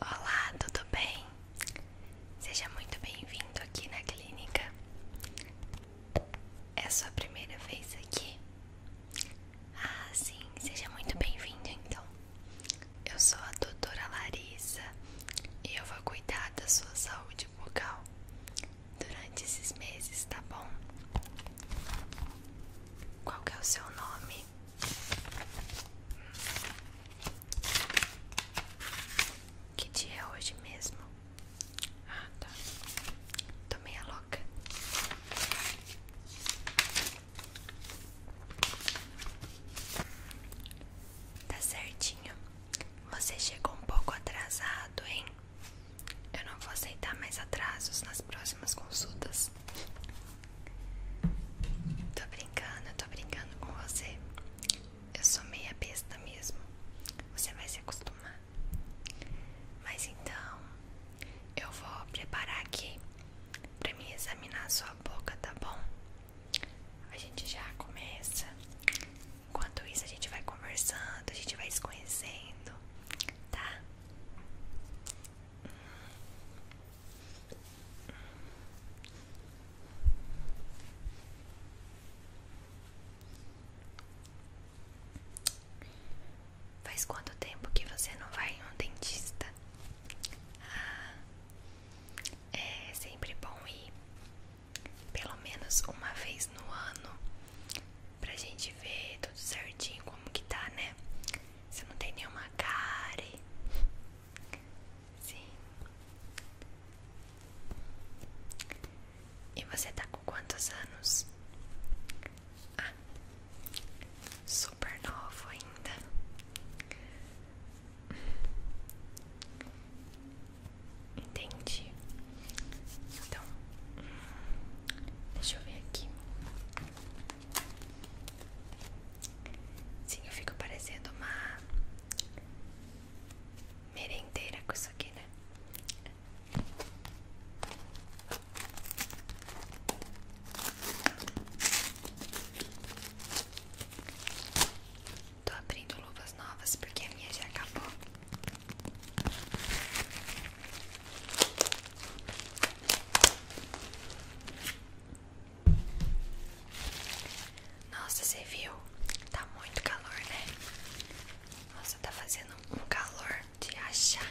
Olá, tudo bem? Seja muito bem-vindo aqui na clínica. É a sua primeira vez aqui? Ah, sim, seja muito bem-vindo então. Eu sou a doutora Larissa e eu vou cuidar da sua saúde bucal durante esses meses, tá bom? Qual é o seu nome? Que dia é hoje mesmo? Ah, tá. Tô meia louca. Tá certinho. Você chegou um pouco atrasado, hein? Eu não vou aceitar mais atrasos nas próximas consultas. Tô brincando, tô brincando com você. Eu sou meia besta mesmo. Você vai se acostumar. Mas então, eu vou preparar aqui pra mim examinar sua boca, tá bom? A gente já começa. Enquanto isso, a gente vai conversando, a gente vai se conhecendo, tá? Faz quanto tempo que você não vai em um dentista? Ah, é sempre bom ir pelo menos uma vez no ano pra gente ver tudo certinho como que tá, né? Você não tem nenhuma cárie. Sim. E você tá com quantos anos? Ah, super novo ainda. Entendi. Então, hum, deixa eu ver aqui. Sim, eu fico parecendo uma merendeira com isso aqui, né? Tô abrindo luvas novas porque a minha já acabou. Nossa, você viu? Tá muito calor, né? Nossa, tá fazendo um calor de achar.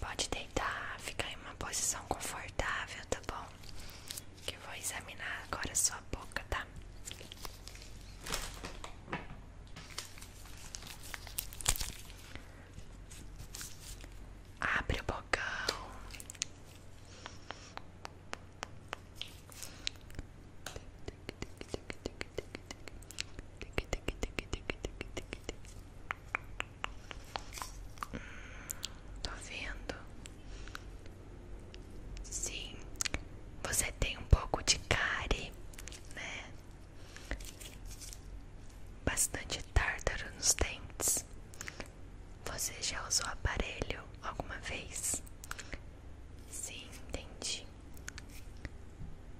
Pode deitar, ficar em uma posição confortável, tá bom? Que vou examinar agora sua boca, tá? Abre o bocão. Hum, tô vendo. Sim, você tem um pouco de cárie, né? Bastante tártaro nos dentes. Você já usou aparelho alguma vez? Sim, entendi.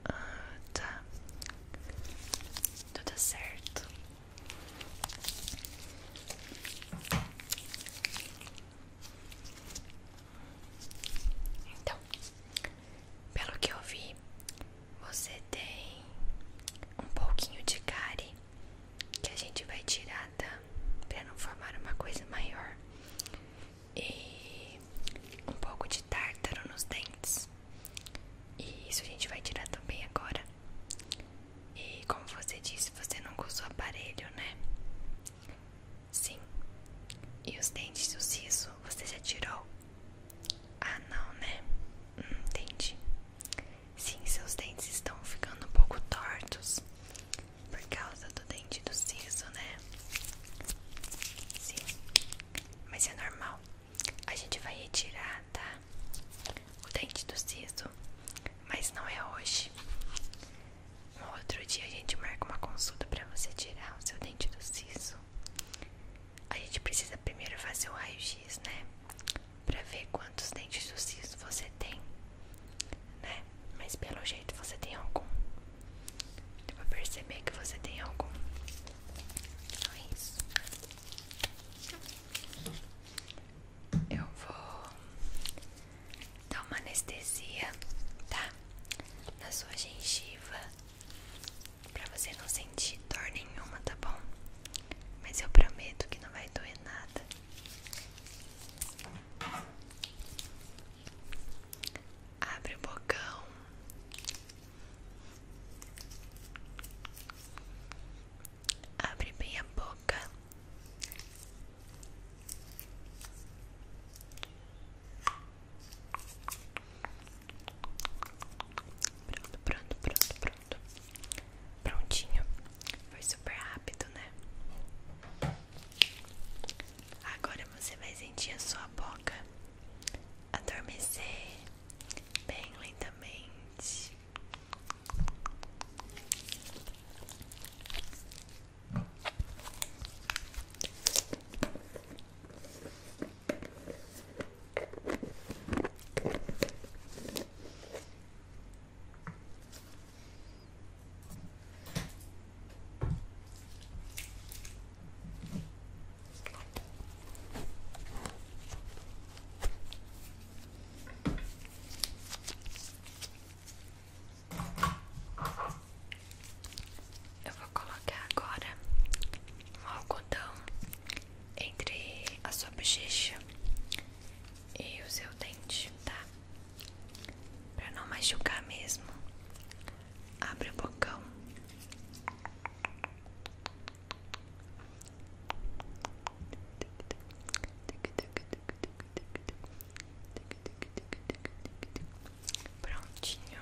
Ah, tá. Tudo tá certo. Então, pelo que eu vi, você tem um pouquinho de cárie que a gente vai tirar, tá? Pra não formar uma coisa maior e um pouco de tártaro nos dentes. E isso a gente vai tirar também agora. E como você disse, você nunca usou aparelho, né? Sim. E os dentes do siso, você já tirou? Ah, não, né? Hum, entendi. Sim, seus dentes estão ficando um pouco tortos por causa do dente do siso, né? Sim, mas é normal. A gente vai retirar, tá? O dente do siso, mas não é hoje. Um outro dia a gente marca uma consulta para você tirar o seu dente do siso. A gente precisa primeiro fazer o raio-x, né? Pra ver quantos dentes do siso você tem, né? mas pelo jeito você tem algum. Deu pra perceber que você tem algum. Então é isso. Eu vou dar uma anestesia, tá? Na sua gengiva. Pra você não sentir dor nenhuma, tá bom? Mas eu prometo que não vai doer nada. Abre o bocão. Abre bem a boca. Pronto, pronto, pronto, pronto. Prontinho. Foi super rápido, né? Agora você vai sentir a sua boca adormecer bem lentamente. Eu vou colocar agora um algodão entre a sua bochecha e o seu dente, tá? Pra não machucar mesmo. Abre o bocão. Prontinho.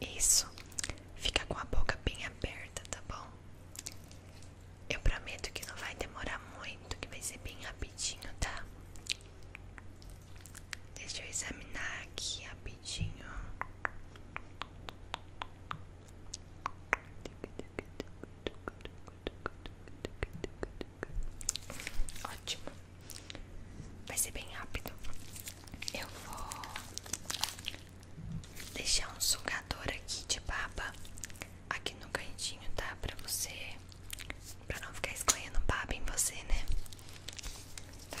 Isso. Fica com a boca bem aberta, tá bom? Eu prometo que não vai demorar muito, que vai ser bem rapidinho, tá? Deixa eu examinar aqui rapidinho. Ótimo. Vai ser bem rápido. Eu vou deixar um sugador aqui de baba aqui no cantinho, tá? Pra você. Pra não ficar escorrendo baba em você, né? Tá?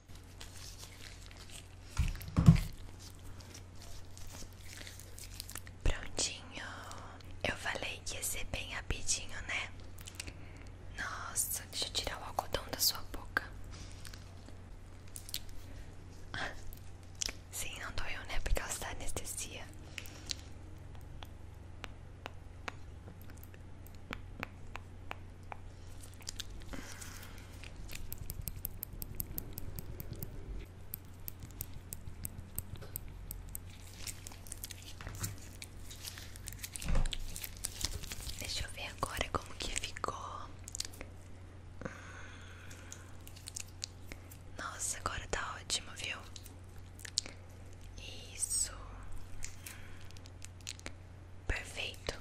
Prontinho. Eu falei que ia ser bem rapidinho, né? Nossa, deixa eu tirar o algodão da sua boca. Sim, não doeu, né? Por causa da anestesia. Deixa eu ver agora como que ficou. Hum. Nossa, agora tá ótimo, viu? Isso. Perfeito.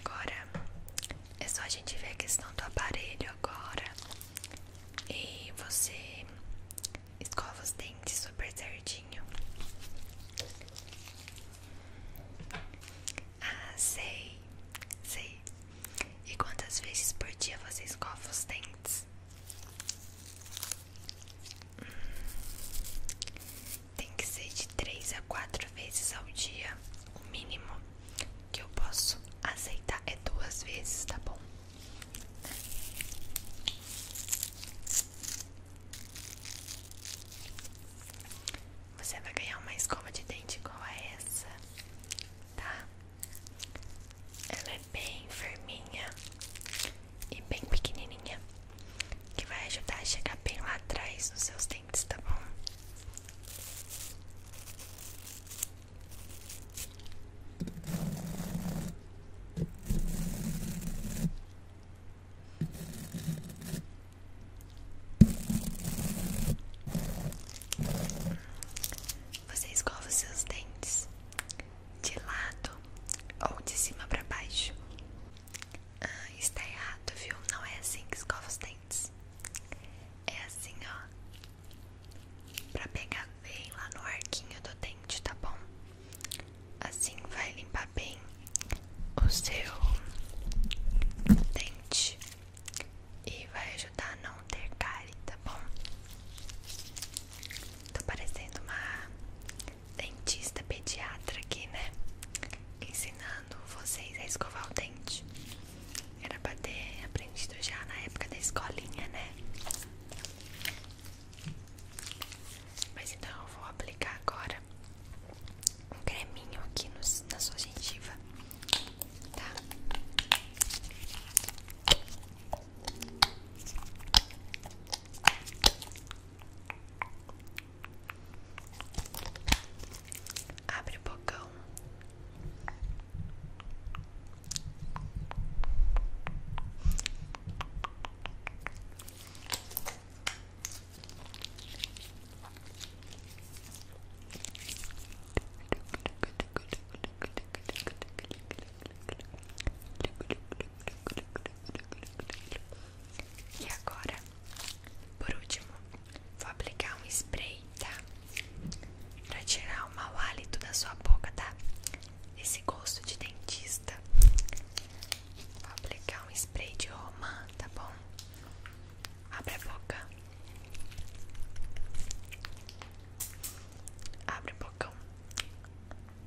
Agora é só a gente ver a questão do aparelho agora. E você escova os dentes super certinho. Ah, sei, sei. E quantas vezes por dia você escova os dentes? Hum, tem que ser de 3 a 4 vezes ao dia. O mínimo que eu posso aceitar é duas vezes, tá bom? Você vai ganhar uma escova de dente igual a essa, tá? Ela é bem firminha e bem pequenininha que vai ajudar a chegar bem lá atrás nos seus dentes, tá bom? Você escova os seus dentes de lado ou de cima para baixo? Ah, está errado, viu? Não é assim que escova os dentes. É assim, ó. Pra pegar bem lá no arquinho do dente, tá bom? Assim vai limpar bem o seu dente e vai ajudar a não ter cárie, tá bom? Tô parecendo uma dentista pediatra aqui, né? Ensinando vocês a escovar o dente. Era pra ter aprendido já na época da escolinha, né? Mas então eu vou aplicar agora um creminho aqui na sua gengiva, tá? Abre o bocão. E agora, por último, vou aplicar um spray, tá? Pra tirar o mau hálito da sua boca, tá? Esse gosto de dentista. Vou aplicar um spray de romã, tá bom? Abre a boca. Abre o bocão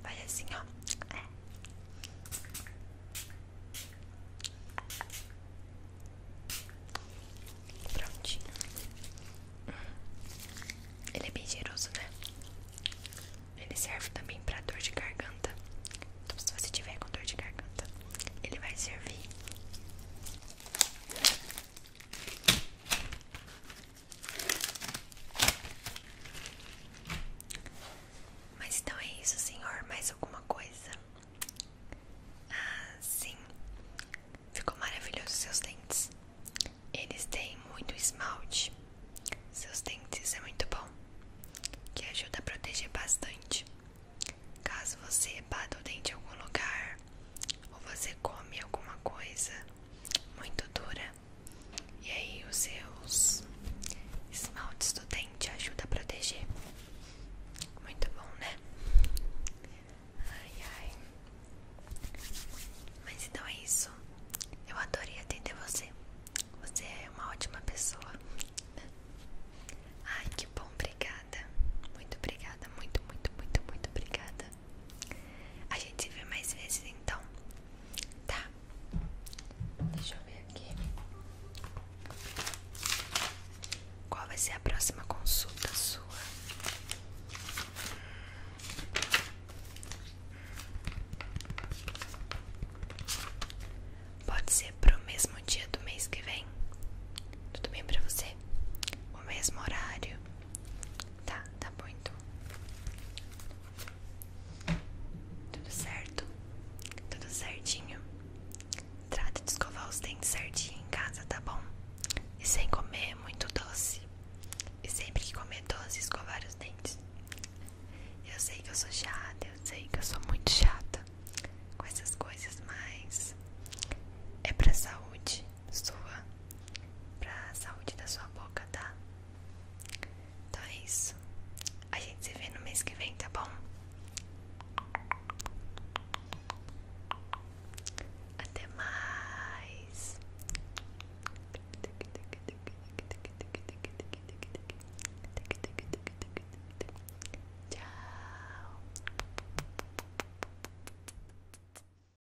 vai assim, ó. É. Prontinho. Ele é bem cheiroso, né? Ele serve também pra dor de garganta. Então, se você tiver com dor de garganta, ele vai servir. Mas então é isso, senhor. Mais alguma coisa? Ah, sim. Ficou maravilhoso seus dentes. Eles têm muito esmalte. Seus dentes é muito bom, que ajuda a proteger bastante. Caso você bata o dente em algum lugar ou você come alguma coisa muito dura, e aí os seus esmaltes do dente ajuda a proteger. Muito bom, né? Ai, ai. Mas então é isso. Eu adorei atender você. Você é uma ótima pessoa. Né? Ai, que bom, obrigada. Muito obrigada, muito, muito, muito, muito obrigada. A gente se vê mais vezes então, tá? Deixa eu ver aqui. Qual vai ser a próxima consulta sua? Pode ser pro mesmo dia do mês que vem? Tudo bem pra você? O mesmo horário? Tá, tá bom então. Tudo certo? Tudo certinho? Trata de escovar os dentes certinho em casa, tá bom? E sem comer muito doce. E sempre que comer doce, escovar os dentes. Eu sei que eu sou chata, eu sei que eu sou muito chata com essas coisas, mas é pra saúde sua, pra saúde da sua boca, tá? Então é isso. A gente se vê no mês que vem, tá bom? Até mais. Tchau.